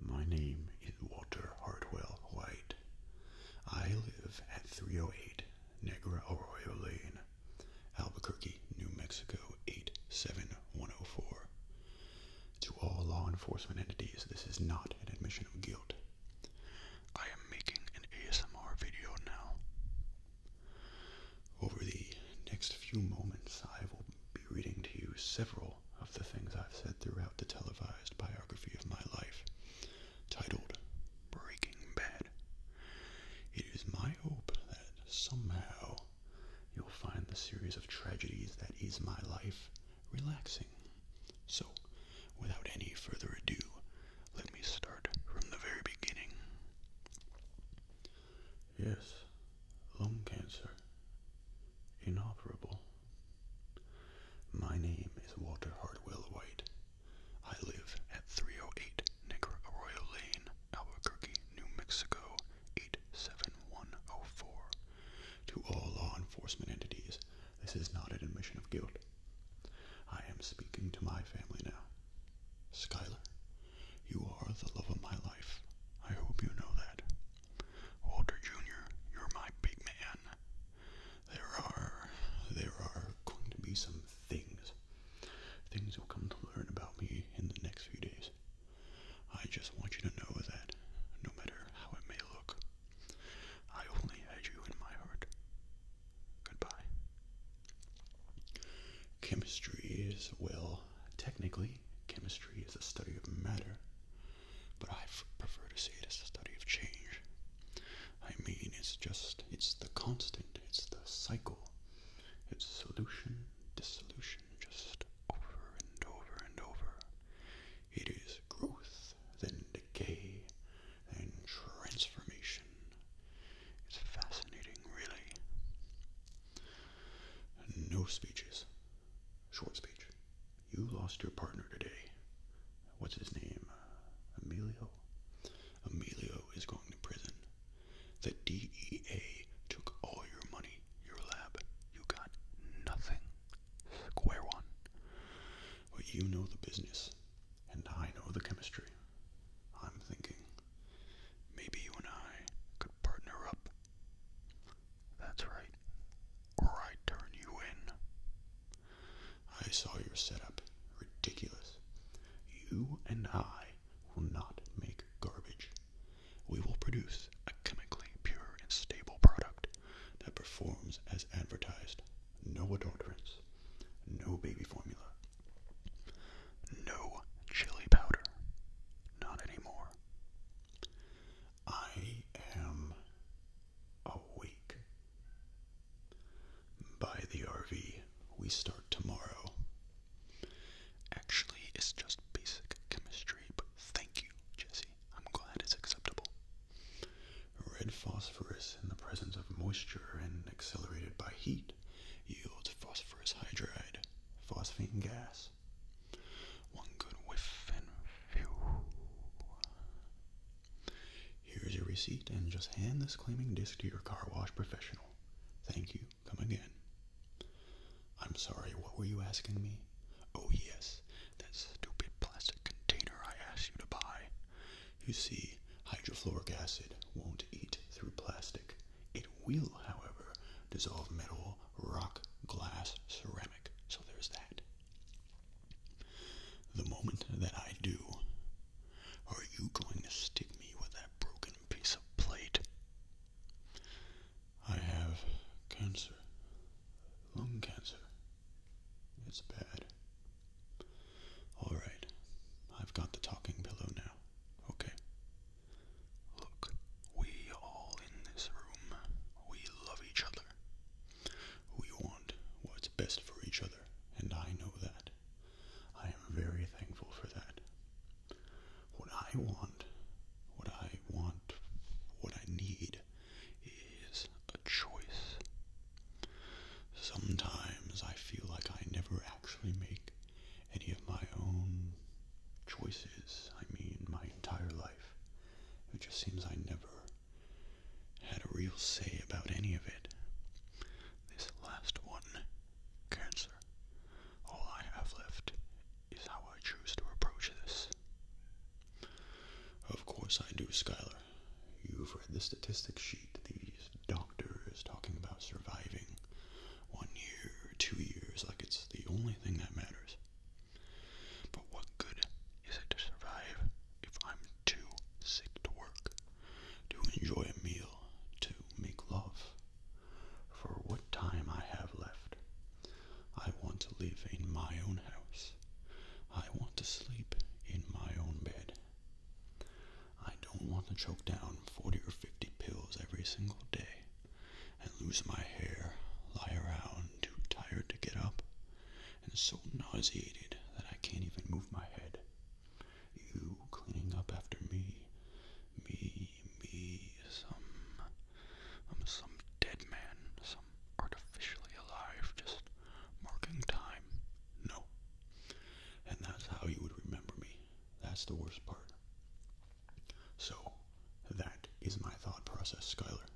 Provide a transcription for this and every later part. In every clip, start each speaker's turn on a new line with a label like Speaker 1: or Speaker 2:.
Speaker 1: My name is Walter Hartwell White. I live at 308 Negra Arroyo Lane, Albuquerque, New Mexico 87104. To all law enforcement entities, this is not an admission of guilt. I am making an ASMR video now. Over the next few moments, I will be reading to you several of the things I've said throughout the televised biography of my life, titled Breaking Bad. It is my hope that somehow you'll find the series of tragedies that is my life relaxing. So, without any further ado, let me start from the very beginning. Yes, lung cancer. Inoperable. My name is Walter Hardwell White. I live at 308 Negro Arroyo Lane, Albuquerque, New Mexico, 87104. To all law enforcement entities, this is not an admission of guilt. I am speaking to my family now. Skylar, you are the love of my life. I hope you know that. Walter Jr., you're my big man. There are, there are going to be some things, things you'll come to learn about me in the next few days. I just want you to know that, no matter how it may look, I only had you in my heart. Goodbye. Chemistry is, well, technically, chemistry is the study of matter but I prefer to see it as a study of change. I mean, it's just, it's the constant, it's the cycle, it's solution, dissolution, just over and over and over. It is growth, then decay, then transformation. It's fascinating, really. No speeches. Short speech. You lost your partner today. What's his name? Uh, Emilio? Emilio is going to prison. The DEA took all your money, your lab. You got nothing. Square one. But you know the business, and I know the chemistry. I'm thinking maybe you and I could partner up. That's right. Or I turn you in. I saw your setup. Ridiculous. You and I will not make garbage. We will produce a chemically pure and stable product that performs as advertised. No adulterants. No baby formula. No chili powder. Not anymore. I am awake. Buy the RV. We start tomorrow. Actually, it's just basic chemistry, but thank you, Jesse. I'm glad it's acceptable. Red phosphorus in the presence of moisture and accelerated by heat yields phosphorus hydride, phosphine gas, one good whiff and phew. Here's your receipt and just hand this claiming disc to your car wash professional. Thank you. Come again. I'm sorry, what were you asking me? Oh, yes, that stupid plastic container I asked you to buy. You see, hydrofluoric acid won't eat through plastic. It will, however, dissolve metal, rock, glass, ceramic. So there's that. The moment that I do, are you going to stick me with that broken piece of plate? I have cancer. Lung cancer. It's bad. Alright, I've got the talking pillow now. Okay. Look, we all in this room, we love each other. We want what's best for each other, and I know that. I am very thankful for that. What I want, what I want, what I need is a choice. Sometimes I feel like I never actually make any of my own choices. I mean, my entire life. It just seems I never had a real say about any of it. This last one, cancer. All I have left is how I choose to approach this. Of course I do, Skylar. You've read the statistics sheet, these doctors talking about surviving one year, two years, like it's the only thing that matters. But what good is it to survive if I'm too sick to work, to enjoy a meal, to make love? For what time I have left, I want to live in my own house. I want to sleep in my own bed. I don't want to choke down 40 or 50 pills every single day and lose my hair, lie around too tired to get up, and so nauseated that I can't even move my head. You cleaning up after me. Me, me, some, um, some dead man, some artificially alive, just marking time. No. And that's how you would remember me. That's the worst part. So, that is my thought process, Skylar.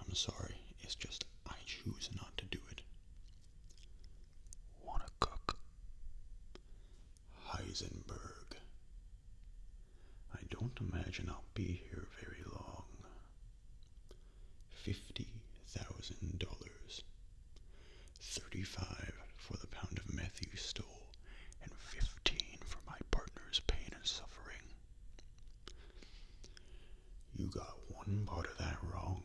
Speaker 1: I'm sorry, it's just I choose not to do it. want Heisenberg. I don't imagine I'll be here very long. Fifty thousand dollars. Thirty-five for the pound of meth you stole, and fifteen for my partner's pain and suffering. You got one part of that wrong.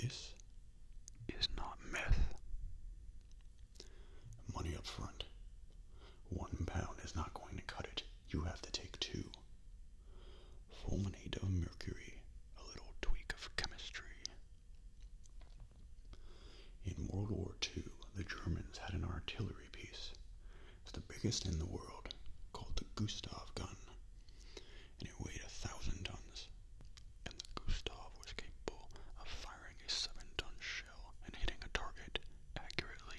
Speaker 1: This is not meth. Money up front. One pound is not going to cut it. You have to take two. Fulminate of mercury, a little tweak of chemistry. In World War II, the Germans had an artillery piece. It's the biggest in the world, called the Gustav gun, and it weighed a thousand tons. And the Gustav was capable of firing a seven-ton shell and hitting a target accurately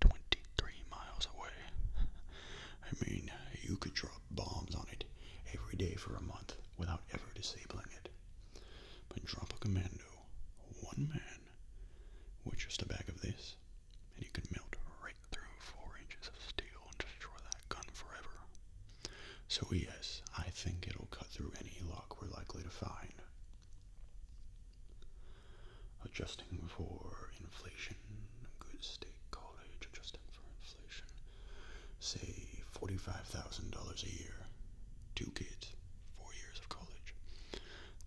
Speaker 1: 23 miles away. I mean, you could drop bombs on it every day for a month without ever disabling it. But drop a commando, one man, with just a bag of this, and you could melt right through four inches of steel and destroy that gun forever. So yes, I think it'll cut through any lock we're likely to find. Adjusting for inflation, good state college, adjusting for inflation, say $45,000 a year, two kids, four years of college,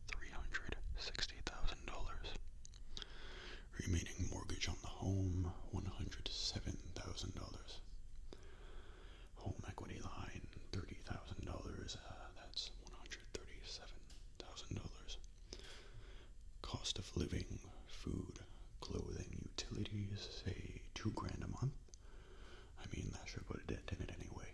Speaker 1: $360,000. Remaining mortgage on the home, $107,000. Home equity line, $30,000. Uh, that's $137,000. Cost of living, food, clothing, utilities, say two grand a month. I mean, that should put a dent in it anyway.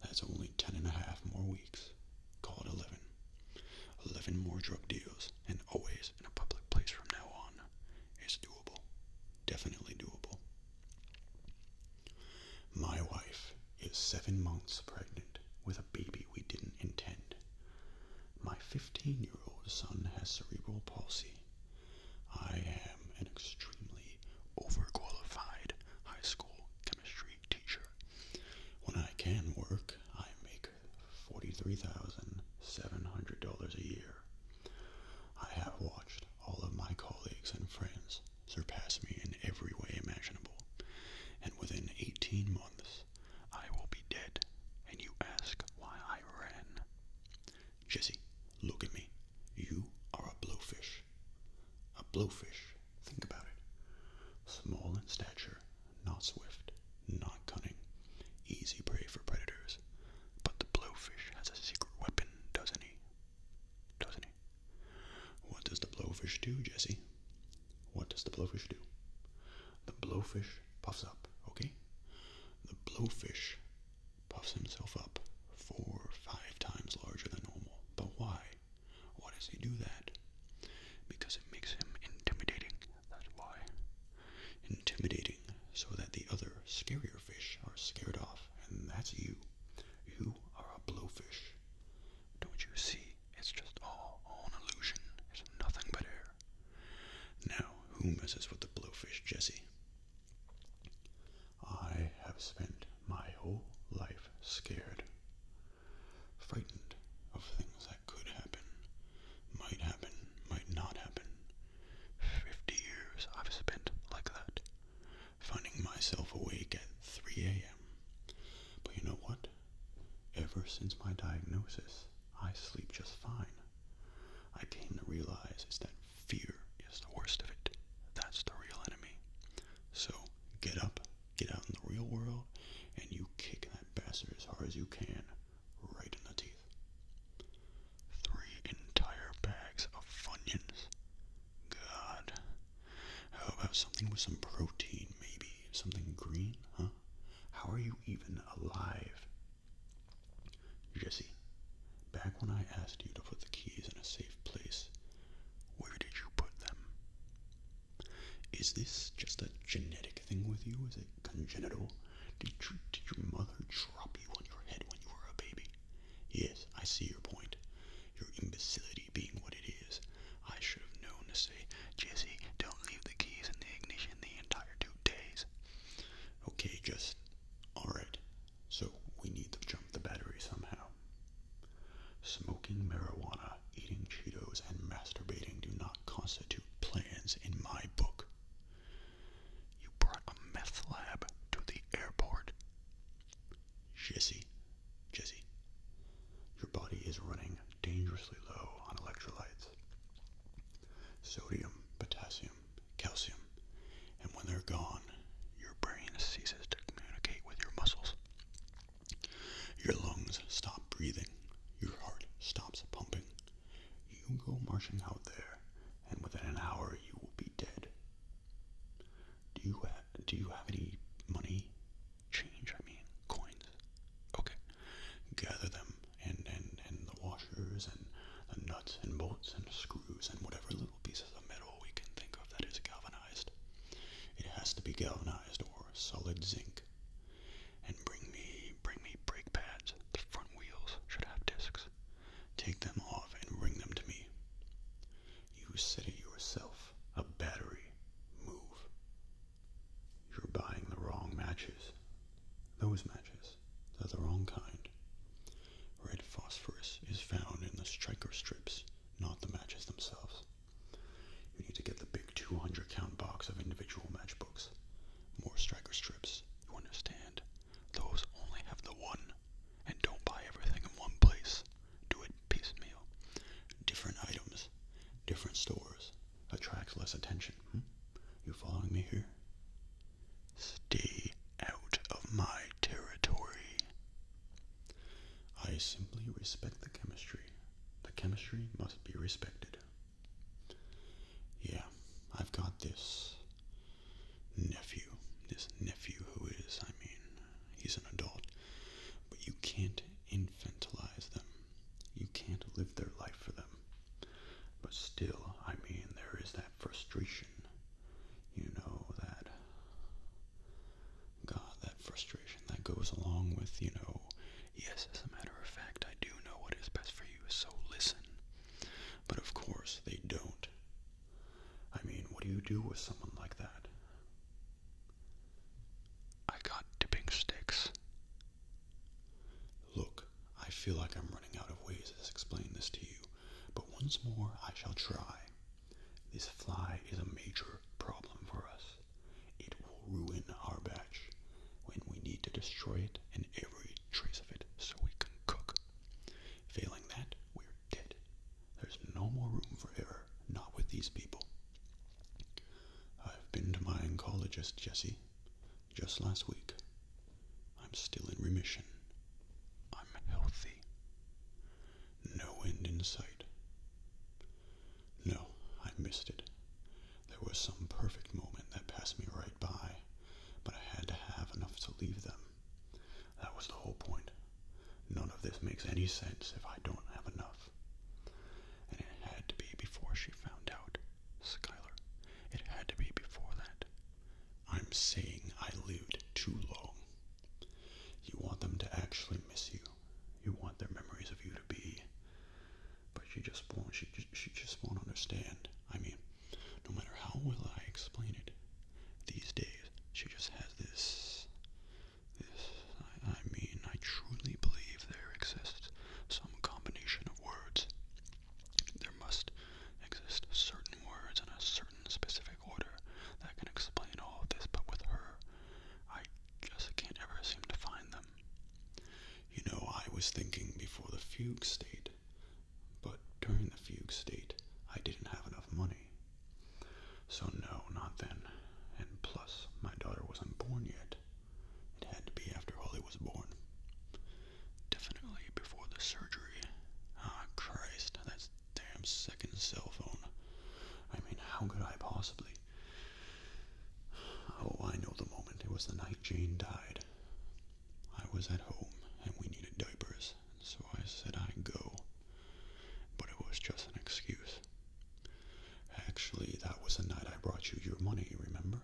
Speaker 1: That's only ten and a half more weeks. Call it eleven. Eleven more drug deals, and always in a public place from now on. It's doable. Definitely doable. My wife is seven months pregnant with a baby we didn't intend. My 15 year old son has cerebral palsy. I am an extremely overqualified high school Street teacher. When I can work, I make $43,700 a year. I have watched all of my colleagues and friends surpass me in every way imaginable, and within 18 months, I will be dead, and you ask why I ran. Jesse, look at me. You are a blowfish. A blowfish Think about it. Small in stature, not swift, not cunning, easy prey for predators. But the blowfish has a secret weapon, doesn't he? Doesn't he? What does the blowfish do, Jesse? What does the blowfish do? The blowfish puffs up, okay? The blowfish puffs himself up four or five times larger than normal. But why? Why does he do that? Because it makes him intimidating, that's why. Intimidating so that the other scarier fish are scared off, and that's you. You are a blowfish. Don't you see? It's just all, an illusion. It's nothing but air. Now, who messes with the blowfish, Jesse? I have spent my whole life scared frightened of things that could happen, might happen, might not happen. Fifty years I've spent like that, finding myself awake at 3 a.m. But you know what? Ever since my diagnosis, I sleep just fine. I came to realize is that fear is the worst of it. That's the real enemy. So get up, Get out in the real world and you kick that bastard as hard as you can, right in the teeth. Three entire bags of Funyuns. God. How about something with some protein, maybe? Something green, huh? How are you even alive? Jesse, back when I asked you to put the keys in a safe place, where did you put them? Is this just a genetic thing with you? Is it congenital? Did, your mother drop you on your head when you were a baby? Yes, I see your point. Your imbecility being what it is. I should have known to say, Jesse, don't leave the keys in the ignition the entire two days. Okay, just. Alright. So we need to jump the battery somehow. Smoking marijuana, eating Cheetos, and masturbating do not constitute plans in my book. You brought a meth lab to the airport. Jesse, Jesse, your body is running dangerously low on electrolytes sodium, potassium, calcium, and when they're gone, your brain ceases to communicate with your muscles. Your lungs stop breathing. Your heart stops pumping. You go marching out there, and within an hour you will be dead. Do you do you have any money, change? I mean, coins. Okay, gather them, and and and the washers, and the nuts and bolts and screws, and whatever little pieces of metal we can think of that is galvanized. It has to be galvanized or solid zinc. And bring me, bring me brake pads. The front wheels should have discs. Take them off and bring them to me. You said it yourself. A battery. Move. You're buying the wrong matches. Those matches. are the wrong kind. Red phosphorus is found in the striker strips, not the matches themselves. You need to get the big 200 count box of individual matchbooks. More striker strips, you understand? Those only have the one. And don't buy everything in one place. Do it piecemeal. Different items, different stores, attracts less attention. Hmm? You following me here? Stay out of my territory. I simply respect the chemistry. The chemistry must be respected. Yeah, I've got this nephew. This nephew who is, I mean, he's an adult. But you can't infantilize them. You can't live their life for them. But still, I mean, there is that frustration. You know, that God, that frustration that goes along with, you know, yes, as a matter of fact, I do know what is best for you, so listen. But of course, they don't. I mean, what do you do with someone like that? I got dipping sticks. Look, I feel like I'm running out of ways to explain this to you, but once more I shall try. This fly is a major problem for us. It will ruin our batch when we need to destroy it and every trace of it so we can cook. Failing that, we're dead. There's no more room for error, not with these people. I've been to my oncologist, Jesse, just last week. I'm still in remission. I'm healthy. No end in sight. No, I missed it. There was some perfect moment that passed me right by, but I had to have enough to leave them. That was the whole point. None of this makes any sense if I don't have enough. And it had to be before she found out, Skylar. It had to be before that. I'm saying I lived too long. You want them to actually miss you you want their memories of you to be. But she just won't. She just, she just won't understand. I mean, no matter how well I explain it, these days she just has this. This. I, I mean, I truly believe there exists some combination of words. There must exist certain words in a certain specific order that can explain all of this. But with her, I just can't ever seem to find them. You know, I was thinking before the fugue state, but during the fugue state, I didn't have enough money. So, no, not then. And plus, my daughter wasn't born yet. It had to be after Holly was born. Definitely before the surgery. Ah, Christ, that damn second cell phone. I mean, how could I possibly? Oh, I know the moment. It was the night Jane died. I was at home and we needed diapers, so I said I'd go. But it was just an excuse. Actually, that was the night I brought you your money, remember?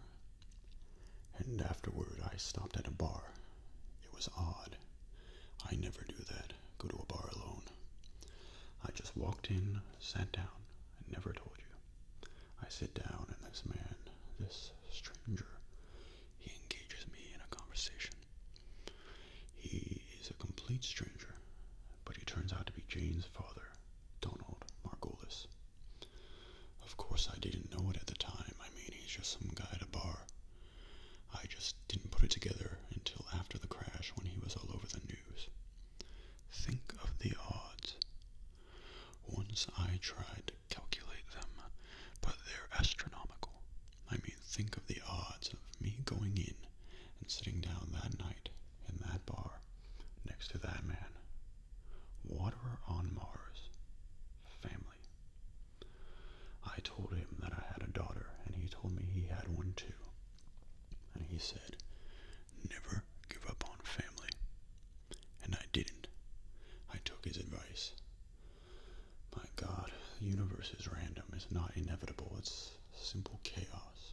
Speaker 1: And afterward, I stopped at a bar. It was odd. I never do that, go to a bar alone. I just walked in, sat down, I never told you. I sit down, and this man, this stranger, he engages me in a conversation. He is a complete stranger, but he turns out to be Jane's father, Donald Margolis. Of course, I didn't know it at the time. I mean, he's just some guy at a bar. I just didn't put it together until after the crash when he was all over the news. Think of the odds. Once I tried to calculate them, but they're astronomical. I mean, think of the odds of me going in and sitting down that night in that bar next to that man. Water on Mars. Family. I told him that I had a daughter, and he told me he had one too. And he said, Never give up on family. And I didn't. I took his advice. My God, the universe is random. It's not inevitable. It's simple chaos.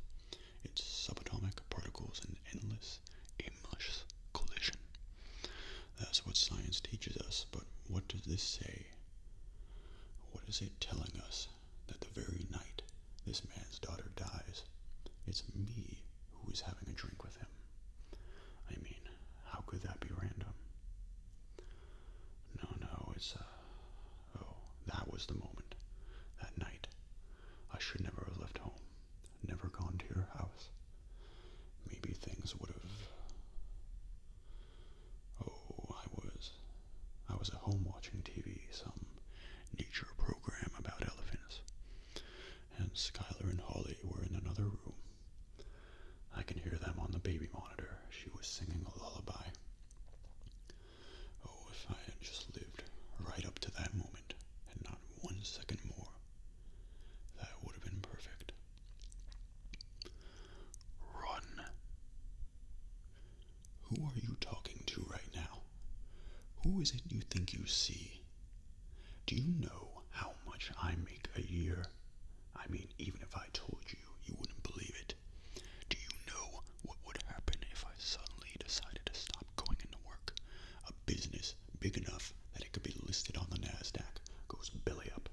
Speaker 1: It's subatomic particles and endless, aimless collision. That's what science teaches us, but what does this say? What is it telling us? that the very night this man's daughter dies, it's me who is having a drink with him. I mean, how could that be random? No, no, it's, uh, oh, that was the moment, that night. I should never have left home, never gone to your house. Maybe things would have, oh, I was, I was at home watching TV, some nature program about elephants. And Skylar and Holly were in another room. I can hear them on the baby monitor. She was singing a lullaby. Oh, if I had just lived right up to that moment and not one second more, that would have been perfect. Run! Who are you talking to right now? Who is it you think you see? Do you know how much I make a year? I mean, even if I told you, you wouldn't believe it. Do you know what would happen if I suddenly decided to stop going into work? A business big enough that it could be listed on the NASDAQ goes belly up,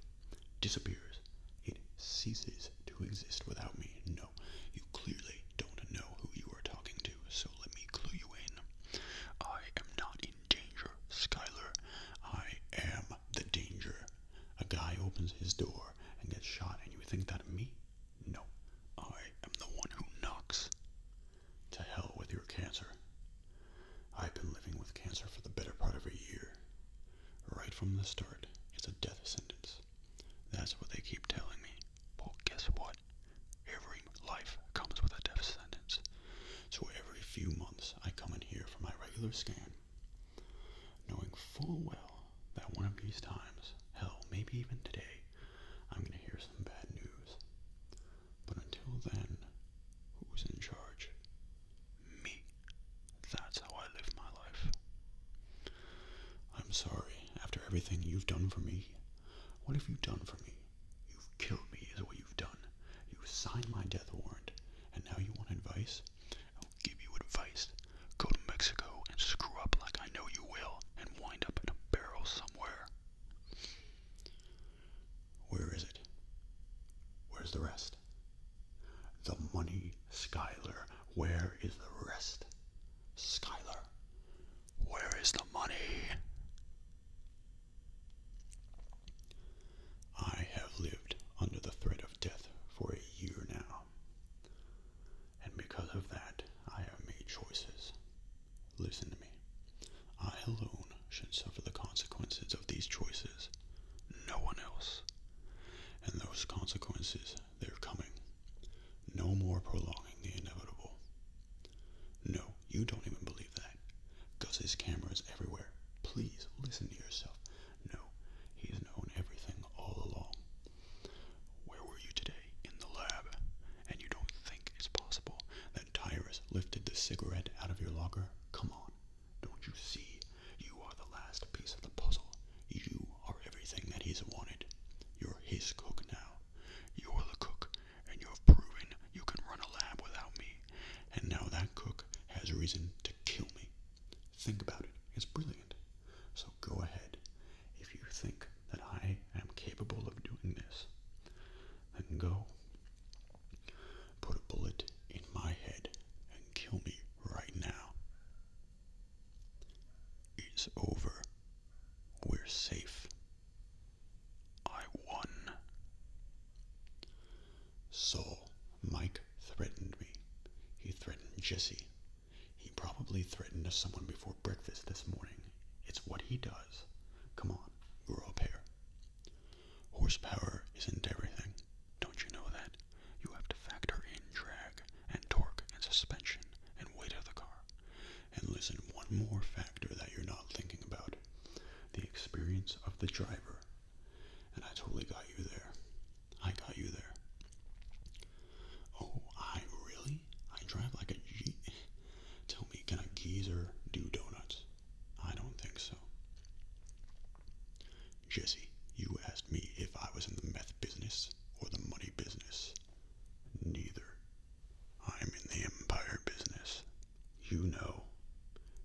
Speaker 1: disappears. It ceases to exist without me. No you clearly don't know who you are talking to, so let me clue you in. I am not in danger, Skylar. I am the danger. A guy opens his door and gets shot, and you think that of me? No. I am the one who knocks. To hell with your cancer. I've been living with cancer for the better part of a year. Right from the start, it's a death sentence. That's what they keep telling me. Well, guess what? Every life comes with a death sentence. So every few months I come in here for my regular scan, knowing full well that one of these times, hell, maybe even today, I'm going to hear some bad news. But until then, who's in charge? Me. That's how I live my life. I'm sorry, after everything you've done for me, what have you done for me? You've killed me, is what you've done. You've signed my death warrant, and now you want advice? I'll give you advice. Go to Mexico and screw up like I know you will, and wind up in a barrel somewhere. Where is it? Where's the rest? The money, Skylar. Where is the rest? Skylar. Where is the money? I have lived under the threat of death for a year now, and because of that, I have made choices. Listen to me. I alone should suffer the consequences of these choices, no one else. And those consequences, they're coming. No more prolonging the inevitable. No, you don't even believe that. Gus's camera is everywhere. Please listen to yourself. No, he's known everything all along. Where were you today? In the lab. And you don't think it's possible that Tyrus lifted the cigarette out of your locker? Come on. Don't you see? You are the last piece of the puzzle. You are everything that he's wanted. You're his cook now. You are the cook, and you have proven you can run a lab without me, and now that cook has reason to kill me. Think about it, it's brilliant. So go ahead. If you think that I am capable of doing this, then go. Put a bullet in my head and kill me right now. It's over. We're safe. I won. So, Mike threatened me. He threatened Jesse. He probably threatened someone before breakfast this morning. It's what he does. Come on, grow up here. Horsepower isn't everything. Don't you know that? You have to factor in drag and torque and suspension and weight of the car. And listen, one more factor that you're not thinking about the experience of the driver. And I totally got you there. I got you there. Oh, I really? I drive like a G. Tell me, can a geezer do donuts? I don't think so. Jesse, you asked me if I was in the meth business or the money business. Neither. I'm in the empire business. You know.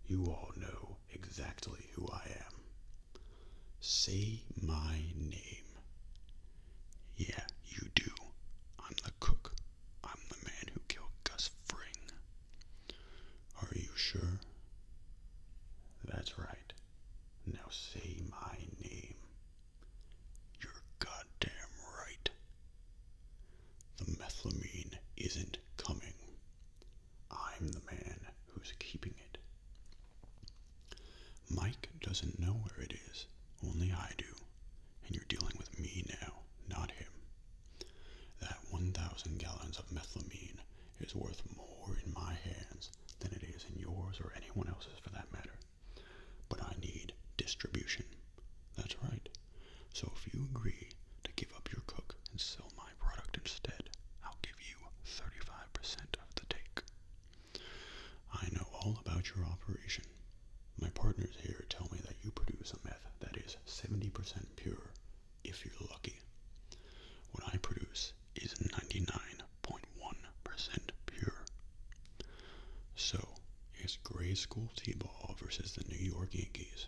Speaker 1: You all know exactly who I am. Say my name. Yeah, you do. I'm the cook. I'm the man who killed Gus Fring. Are you sure? That's right. Now say my name. You're goddamn right. The methylamine isn't coming. I'm the man who's keeping it. Mike doesn't know where it is, only I do, and you're dealing with me now, not him. That 1,000 gallons of methylamine is worth more in my hands than it is in yours or anyone else's for that matter. But I need distribution. That's right. So if you agree to give up your cook and sell my product instead, I'll give you 35% of the take. I know all about your operation. My partners here tell me that you produce a meth that is 70% pure, if you're lucky. What I produce is 99.1% pure. So, it's grade school T-ball versus the New York Yankees.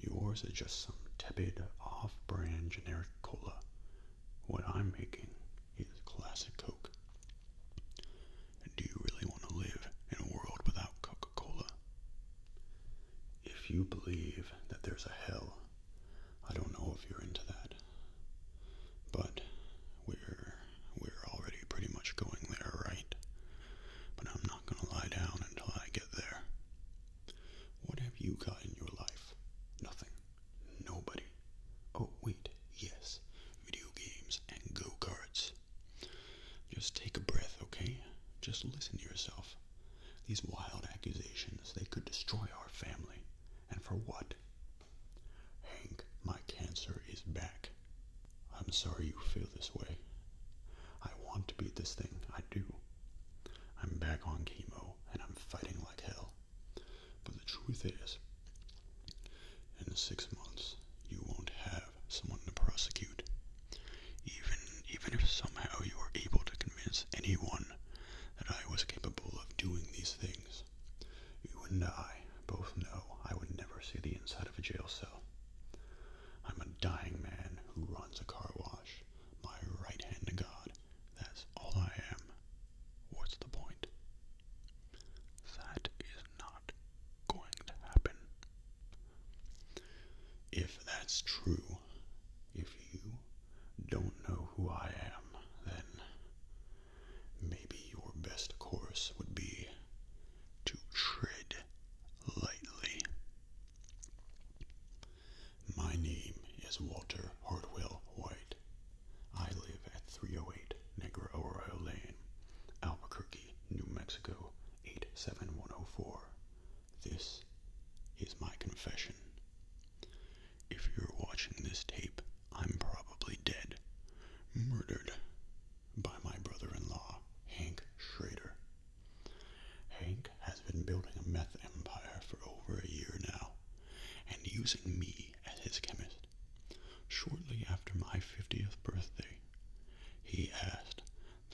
Speaker 1: Yours is just some tepid, off-brand generic cola. What I'm making is classic Coke. Do you really want to live in a world without Coca-Cola? If you believe that there's a hell, I don't know if you're into that. But we're we're already pretty much going there, right? But I'm not going to lie down until I get there. What have you got in your life? Nothing. Nobody. Oh, wait, yes. Video games and go cards. Just take a breath, okay? Just listen to yourself. These wild accusations, they could destroy our family. And for what? Hank, my cancer is back. I'm sorry you feel this way. I want to beat this thing, I do. I'm back on chemo and I'm fighting like hell. But the truth is, in six months, you won't have someone to prosecute. Even, even if somehow you were able to convince anyone that I was capable of doing these things, you and I both know I would never see the inside of a jail cell. I'm a dying man who runs a car wash, my right hand to God. That's all I am. What's the point? That is not going to happen. If that's true, if you don't know who I am, then maybe your best course would be to tread lightly. My name is Walter Hartwell White. I live at 308 Negro Arroyo Lane, Albuquerque, New Mexico 87104. This is my confession. If you're watching this tape, I'm probably dead, murdered, by my brother-in-law, Hank Schrader. Hank has been building a meth empire for over a year now, and using me as his chemist. Shortly after my 50th birthday, he asked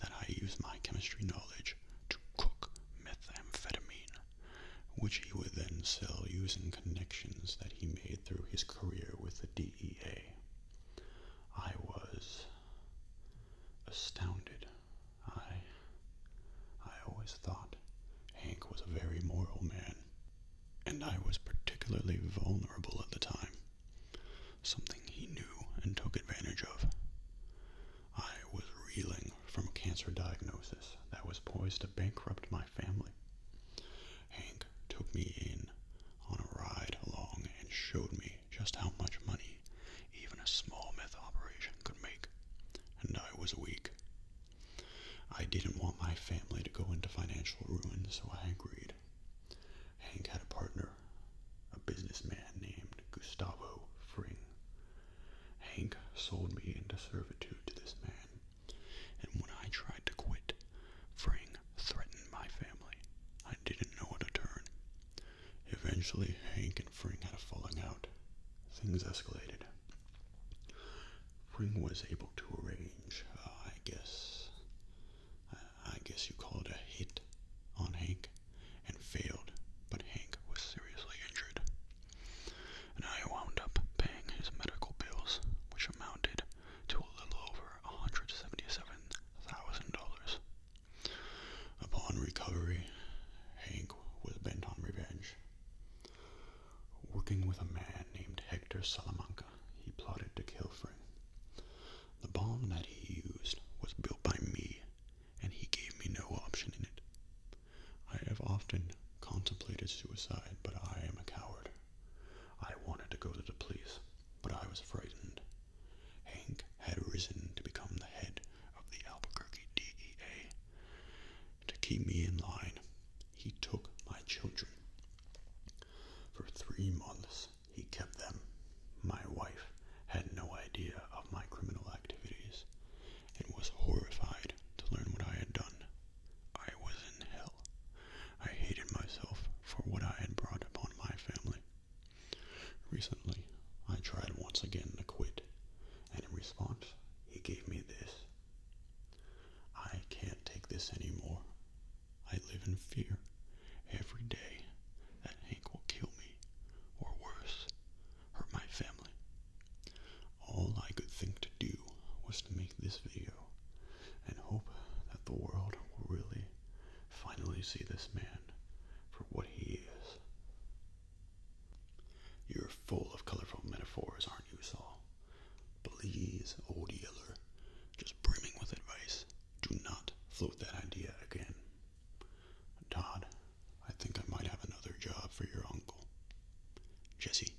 Speaker 1: that I use my chemistry knowledge to cook methamphetamine, which he would then sell using connections that he made through his career with the DEA. I was astounded. I I always thought Hank was a very moral man, and I was particularly vulnerable at the time. Something he knew and took advantage of. I was reeling from a cancer diagnosis that was poised to bankrupt my family. Hank took me in on a ride along and showed me just how much money even a small meth operation could make, and I was weak. I didn't want my family to go into financial ruin, so I agreed. Hank had a partner, a businessman named Gustavo Fring. Hank sold me into servitude to this man, and when I tried to quit, Fring threatened my family. I didn't know what to turn. Eventually, Hank and Fring had a falling out. Things escalated. Fring was able to arrange, uh, I guess, I guess you call it a hit on Hank, and failed, but Hank was seriously injured. And I wound up paying his medical bills, which amounted to a little over $177,000. Upon recovery, Hank was bent on revenge. Working with a man named Hector Salamanca, he plotted to kill Frank. The bomb that he used was built by me, and he gave me no option in it. I have often contemplated suicide, but I am a coward. I wanted to go to the police, but I was frightened. Hank had risen to become the head of the Albuquerque DEA. To keep me in line, he took my children. For three months, he kept them. My wife had no idea of my criminal activities and was horrified to learn what I had done. I was in hell. I hated myself for what I had brought upon my family. Recently, I tried once again to quit, and in response, he gave me this. I can't take this anymore. I live in fear every day that Hank will kill me, or worse, hurt my family. All I could think to do was to make this video and hope that the world will really finally see this man for what he is. You're full of colorful metaphors, aren't you, Saul? Please, old yeller, just brimming with advice, do not float that idea again. Todd, I think I might have another job for your uncle. Jesse,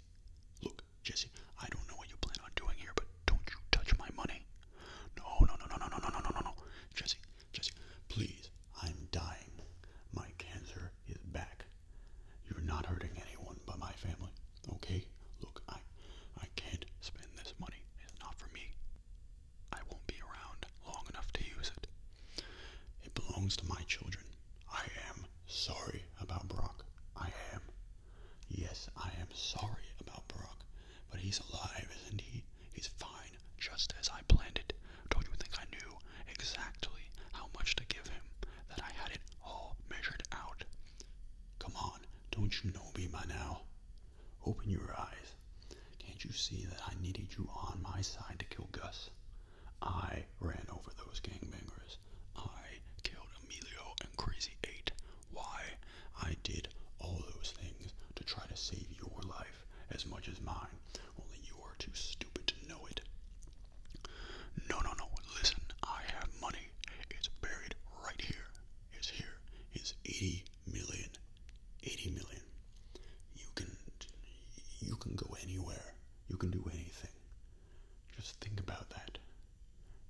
Speaker 1: look, Jesse, I don't know what you plan on doing here, but don't you touch my money. No, no, no, no, no, no, no, no, no, no, Jesse, Jesse, please. I'm dying. My cancer is back. You're not hurting anyone but my family. Okay? Look, I I can't spend this money. It's not for me. I won't be around long enough to use it. It belongs to my children. I am sorry about Brock. I am. Yes, I am sorry about Brock, but he's alive, isn't he? He's fine, just as I planned it. Don't you think I knew exactly how much to give him? That I had it all measured out? Come on, don't you know me by now? Open your eyes. Can't you see that I needed you on my side to kill Gus? I ran over those gangbangers. I killed Emilio and Crazy Eight why I did all those things to try to save your life as much as mine, only you are too stupid to know it. No, no, no, listen, I have money. It's buried right here. It's here. It's 80 million. You can you can go anywhere. You can do anything. Just think about that.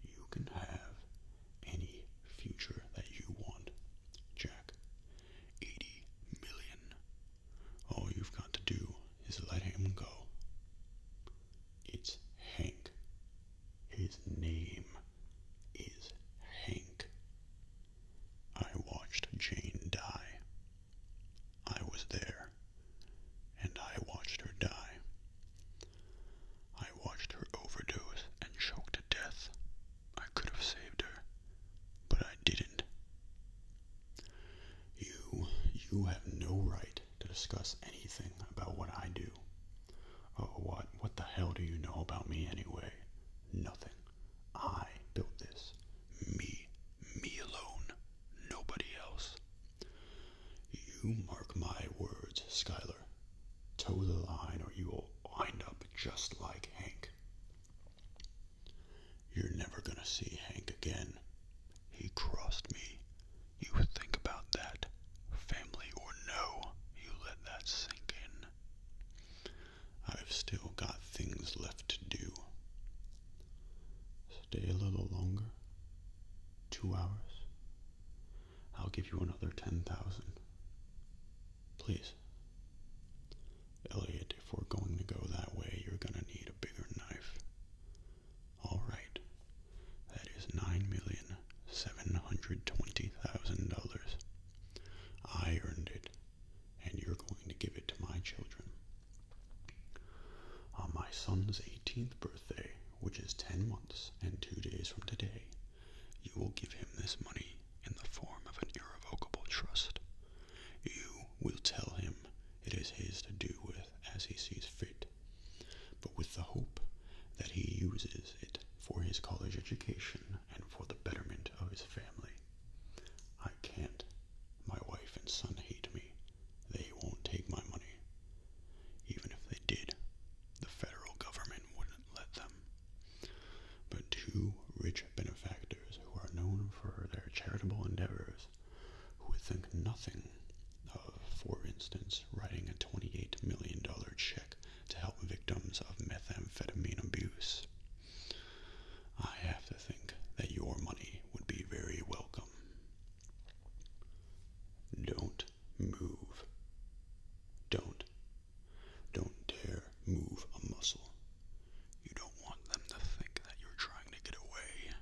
Speaker 1: You can have any future that you want. Jack, 80 million. All you've got to do is let him go. It's Hank. His name is Hank. I watched Jane die. I was there, and I watched her die. I watched her overdose and choked to death. I could have saved her, but I didn't. You, you have no right to discuss anything about what I do. Oh, what, what the hell do you know about me anyway? Nothing. I built this. Me, me alone, nobody else. You mark my words, Skylar. Tow the line, or you will wind up just like Hank. You're never gonna see Hank again. He crossed me. You think about that. Family or no, you let that sink in. I've still got things left to do. Stay a little longer. Two hours. I'll give you another ten thousand. Please. Elliot, if we're going to go that way, you're gonna need a bigger knife. Alright. That is nine million seven hundred twenty thousand dollars. I earned it, and you're going to give it to my children. On my son's eighteenth birthday, which is ten months and two days from today, you will give him this money in the form of an irrevocable trust. You will tell him it is his to do with as he sees fit, but with the hope that he uses it for his college education and for the betterment of his family. I can't. My wife and son hate me. They won't take my money. Even if they did, the federal government wouldn't let them. But two rich benefactors who are known for their charitable endeavors, who would think nothing of, for instance, writing a $28 million check to help victims of methamphetamine abuse. I have to think that your money would be very welcome. Don't move. Don't. Don't dare move a muscle. You don't want them to think that you're trying to get away.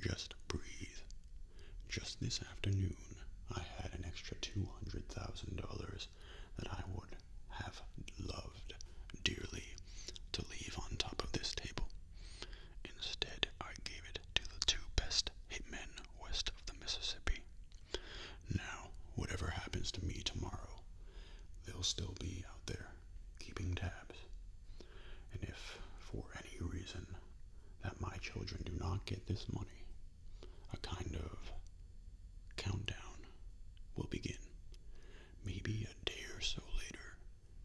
Speaker 1: Just breathe. Just this afternoon, I had an extra $200,000 that I would have loved dearly to leave on top of this table. Instead, I gave it to the two best hitmen west of the Mississippi. Now, whatever happens to me tomorrow, they'll still be out there keeping tabs. And if, for any reason, that my children do not get this money, a kind of countdown will begin. Maybe a day or so later,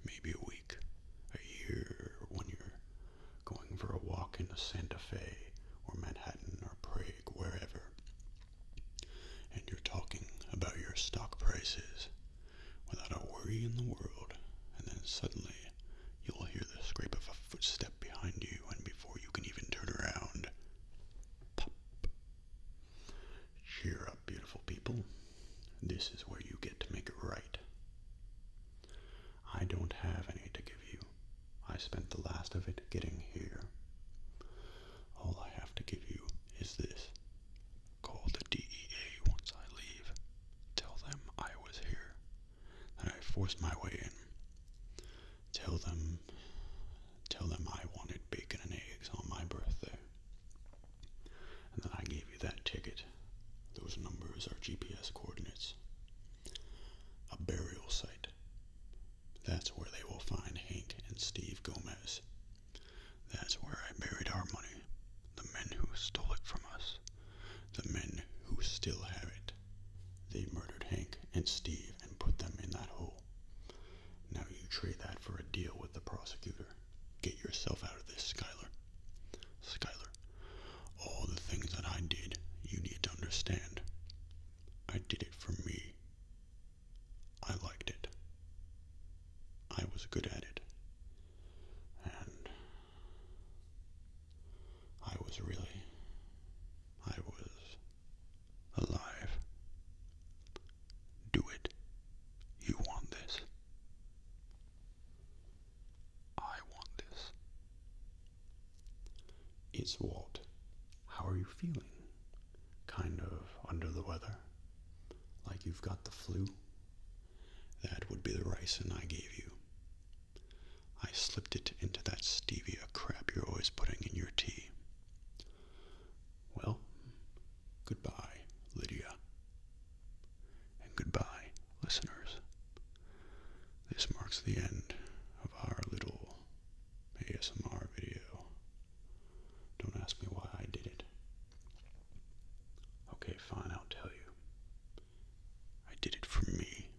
Speaker 1: maybe a week, a year, when you're going for a walk in Santa Fe or Manhattan or Prague wherever, and you're talking about your stock prices without a worry in the world, and then suddenly you'll hear the scrape of a footstep behind you, and before you can even turn around, pop. Cheer up, beautiful people. This is where you get to make it right. I don't have any to give you. I spent the last of it getting here. All I have to give you is this. Call the DEA once I leave. Tell them I was here. That I forced my way in. Tell them tell them I wanted bacon and eggs on my birthday. And then I gave you that ticket. Those numbers are GPS coordinates. A burial site. That's where they will find Hank and Steve Gomez. That's where I buried our money. The men who stole it from us. The men who still have it. They murdered Hank and Steve and put them in that hole. Now you trade that for a deal with the prosecutor. Get yourself out of this, Skyler. Skyler, all the things that I did, you need to understand. I did it for me. I liked it. I was good at it. And I was really, I was alive. Do it. You want this. I want this. It's Walt. How are you feeling? Kind of under the weather? Like you've got the flu? That would be the ricin I gave you. I slipped it into that stevia crap you're always putting in your tea. Well, goodbye, Lydia. And goodbye, listeners. This marks the end of our little ASMR video. Don't ask me why I did it. Okay, fine, I'll tell you. I did it for me.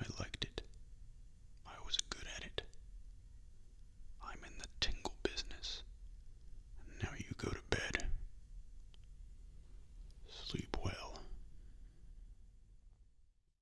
Speaker 1: I liked it. I was good at it. I'm in the tingle business. now you go to bed. Sleep well.